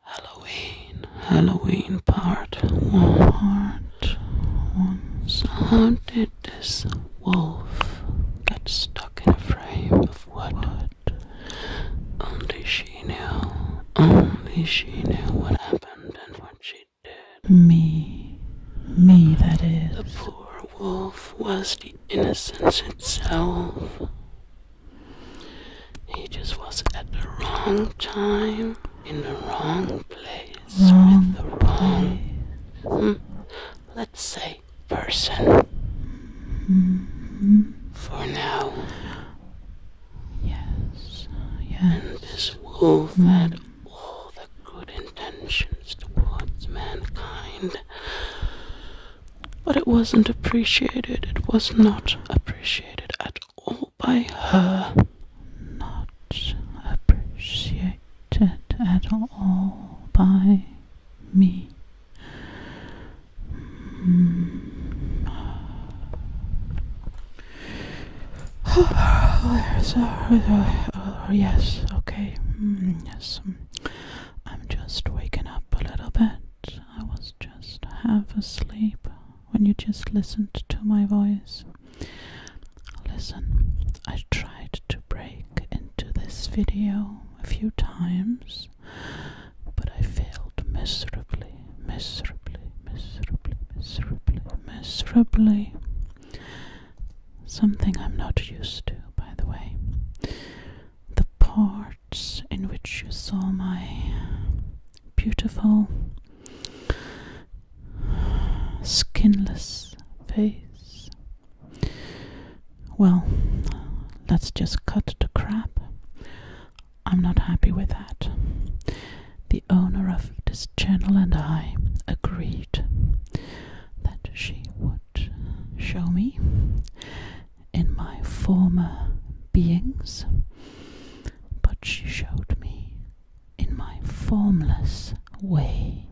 Halloween, Halloween part one. Part how did this wolf get stuck in a frame of wood? wood? Only she knew. Only she knew what happened and what she did. Me, me that is. The poor wolf was the innocence itself. He just was at the wrong time, in the wrong place, wrong with the wrong, hmm. let's say, person. Mm-hmm. For now. Yes, And this wolf mm. had all the good intentions towards mankind. But it wasn't appreciated. It was not appreciated at all by her. Not appreciated at all by me. Hmm. Oh, oh, yes, okay, hmm, yes. I'm just waking up a little bit. I was just half asleep when you just listened to my voice. Listen, I tried to break into this video a few times, but I failed miserably, miserably, miserably, miserably, miserably. Something I'm not used to, by the way. The poor in which you saw my beautiful skinless face. Well, let's just cut the crap. I'm not happy with that. The owner of this channel and I agreed that she would show me in my former beings, but she showed me in my formless way,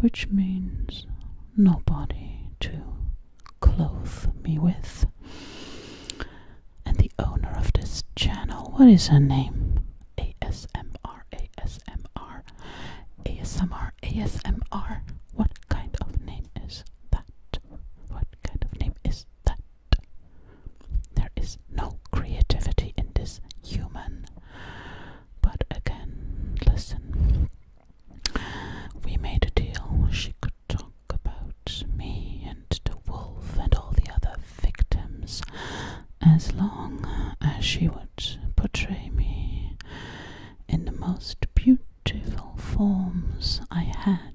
which means nobody to clothe me with. And the owner of this channel, what is her name? ASMR, What kind of name is that? What kind of name is that. There is no creativity in this human. But again, listen. We made a deal. She could talk about me and the wolf and all the other victims as long as she would portray me in the most beautiful forms I had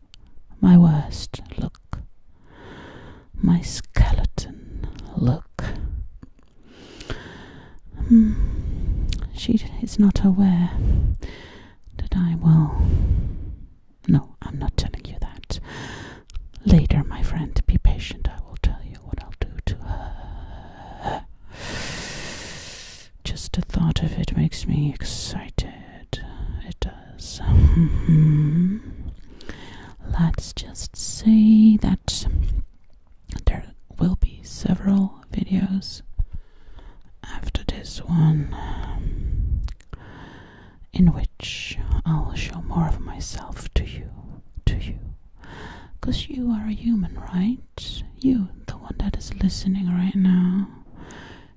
my worst look, my skeleton look. Hmm. She is not aware that I will. No, I'm not telling you that. Later, my friend, be patient. I will tell you what I'll do to her. Just the thought of it makes me excited good. It does. Mm-hmm. Let's just say that there will be several videos after this one um, in which I'll show more of myself to you. To you. Because you are a human, right? You, the one that is listening right now.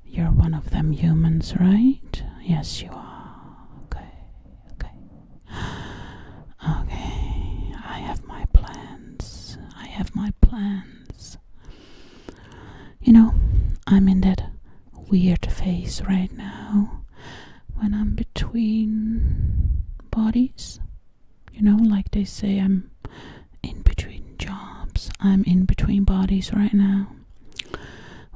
You're one of them humans, right? Yes, you are. Okay, okay. Okay, I have my plans. I have my plans. You know, I'm in that weird phase right now when I'm between bodies. You know, like they say, I'm in between jobs, I'm in between bodies right now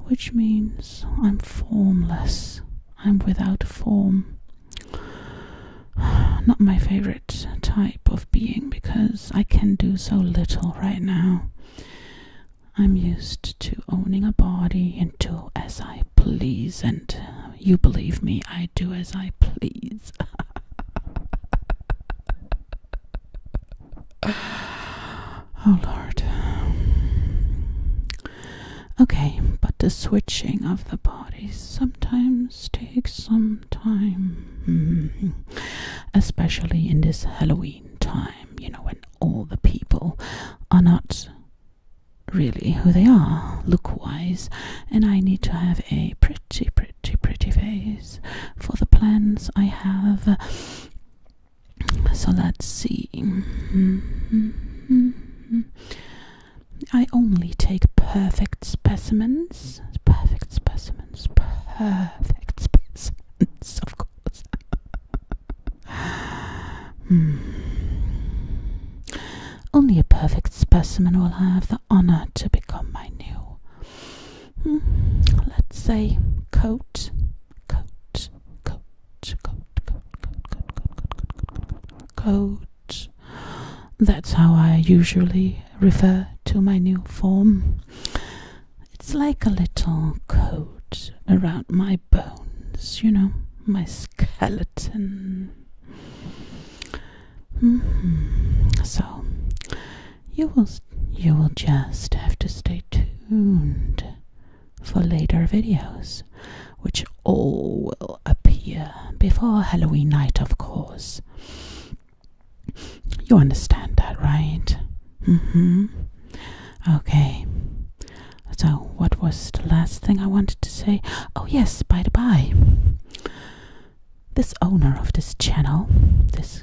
which means I'm formless, I'm without form. Not my favorite type of being because I can do so little right now. I'm used to owning a body and do as I please, and you believe me, I do as I please. oh Lord. Okay, but the switching of the bodies sometimes takes some time, hmm, especially in this Halloween time, you know, when all the people are not really who they are look wise, and I need to have a pretty, pretty, pretty face for the plans I have so let's see. I only take perfect specimens. Perfect specimens. Perfect specimens, of course. Hmm. Only a perfect specimen will have the honor to become my new. Hmm, let's say coat, coat, coach, coach, coach, coach, coach, coach. That's how I usually refer to my new form. It's like a little coat around my bones, you know, my skeleton. Mm-hmm. So you will you will just have to stay tuned for later videos, which all will appear before Halloween night, of course. You understand that, right? Mm hmm. Okay. So, what was the last thing I wanted to say? Oh, yes, by the by, this owner of this channel, this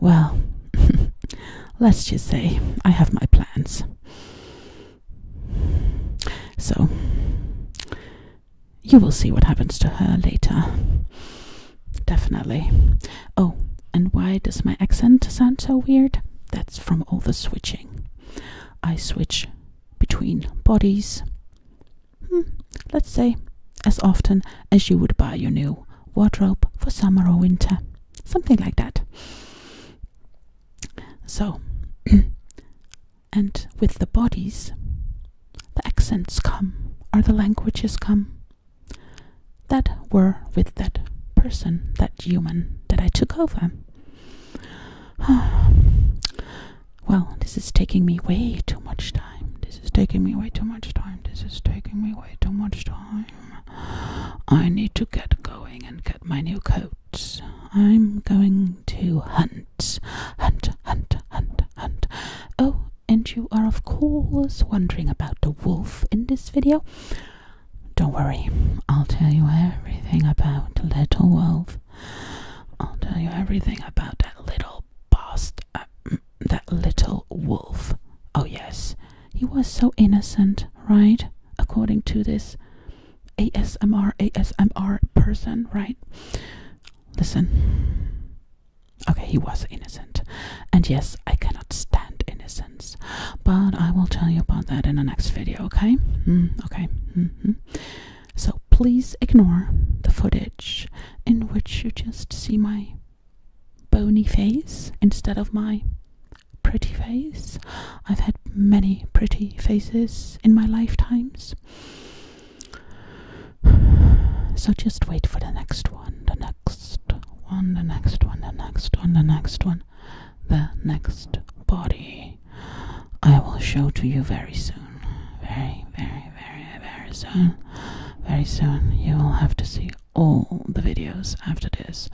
Well, let's just say I have my plans. So, you will see what happens to her later. Definitely. Oh, and why does my accent sound so weird? That's from all the switching. I switch between bodies, hmm, let's say, as often as you would buy your new wardrobe for summer or winter. Something like that. So, and with the bodies, the accents come, or the languages come that were with that person, that human that I took over. well, this is taking me way too much time. This is taking me way too much time. This is taking me way too much time. I need to get going and get my new coat. I'm going to hunt, hunt, hunt, hunt, hunt. Oh, and you are, of course, wondering about the wolf in this video. Don't worry, I'll tell you everything about the little wolf. I'll tell you everything about that little bastard that little wolf. Oh, yes, he was so innocent, right? According to this ASMR, ASMR person, right? Listen. Okay, he was innocent. And yes, I cannot stand innocence. But I will tell you about that in the next video, okay? Mm, okay. Mm-hmm. So please ignore the footage in which you just see my bony face instead of my pretty face. I've had many pretty faces in my lifetimes. So just wait for the next one, the next one, the next one, the next one, the next one, the next body. I will show to you very soon. Very, very, very, very soon. Very soon you will have to see all the videos after this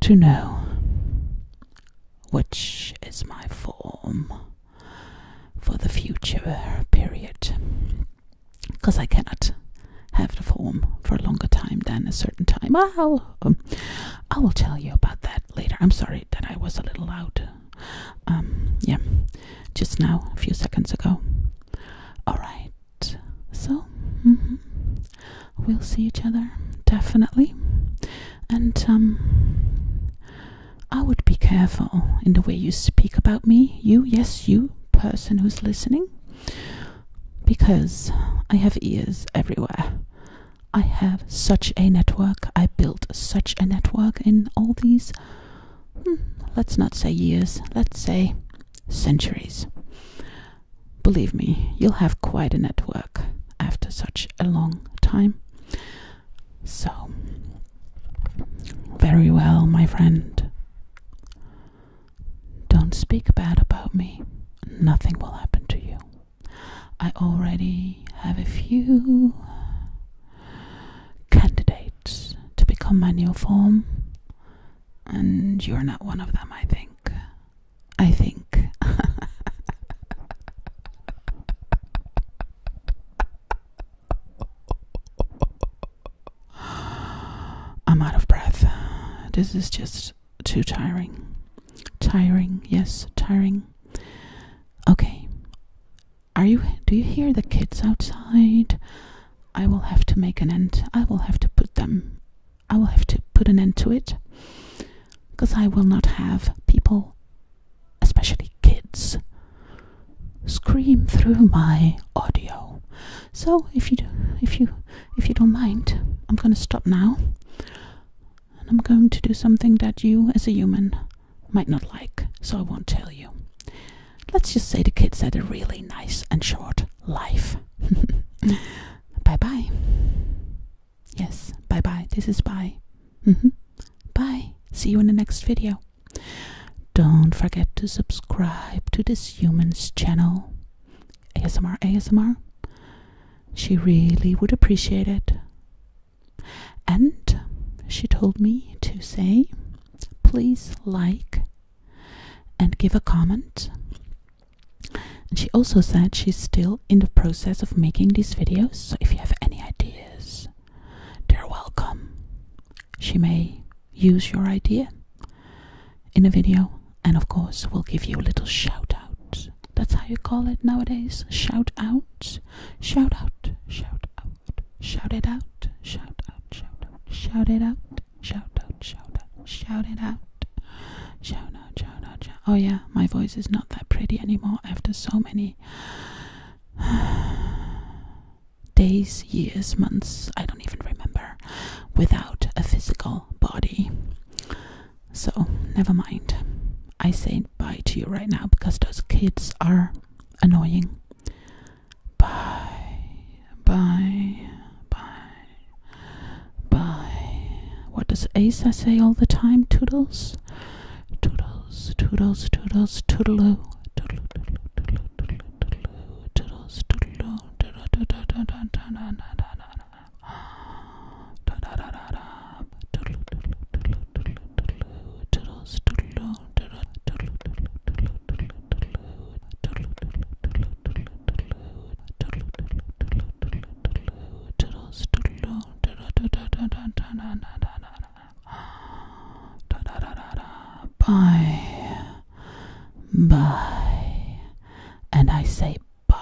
to know which is my form for the future period. Because I cannot have the form for a longer time than a certain time. I'll, um, I will tell you about that later. I'm sorry that I was a little loud. Um, yeah, just now, a few seconds ago. All right, so mm-hmm. we'll see each other definitely and um, i would be careful in the way you speak about me you yes you person who's listening because i have ears everywhere i have such a network i built such a network in all these hmm, let's not say years let's say centuries Believe me, you'll have quite a network after such a long time. So, very well, my friend. Don't speak bad about me. Nothing will happen to you. I already have a few candidates to become my new form, and you're not one of them, I think. I think. I'm out of breath. This is just too tiring. Tiring, yes, tiring. Okay. Are you do you hear the kids outside? I will have to make an end. I will have to put them. I will have to put an end to it. Because I will not have people, especially kids, scream through my audio. So if you do, if you if you don't mind, I'm going to stop now. And I'm going to do something that you as a human might not like, so I won't tell you. Let's just say the kids had a really nice and short life. bye bye. Yes, bye bye. This is bye. Mm-hmm. Bye. See you in the next video. Don't forget to subscribe to this human's channel. ASMR, ASMR. She really would appreciate it. And she told me to say, please like and give a comment. And she also said she's still in the process of making these videos, so if you have any ideas, they're welcome. She may use your idea in a video, and of course, we'll give you a little shout out. That's how you call it nowadays shout out, shout out, shout out, shout it out, shout out, shout out, shout it out out, shout out, shout out, shout it out. Shout out, shout out, Oh, yeah, my voice is not that pretty anymore after so many days, years, months, I don't even remember, without a physical body. So, never mind. I say bye to you right now because those kids are annoying. Bye bye, bye, bye. What does Asa say all the time? Toodles, toodles, toodles, toodles, toodaloo. Bye. Bye. And I say bye.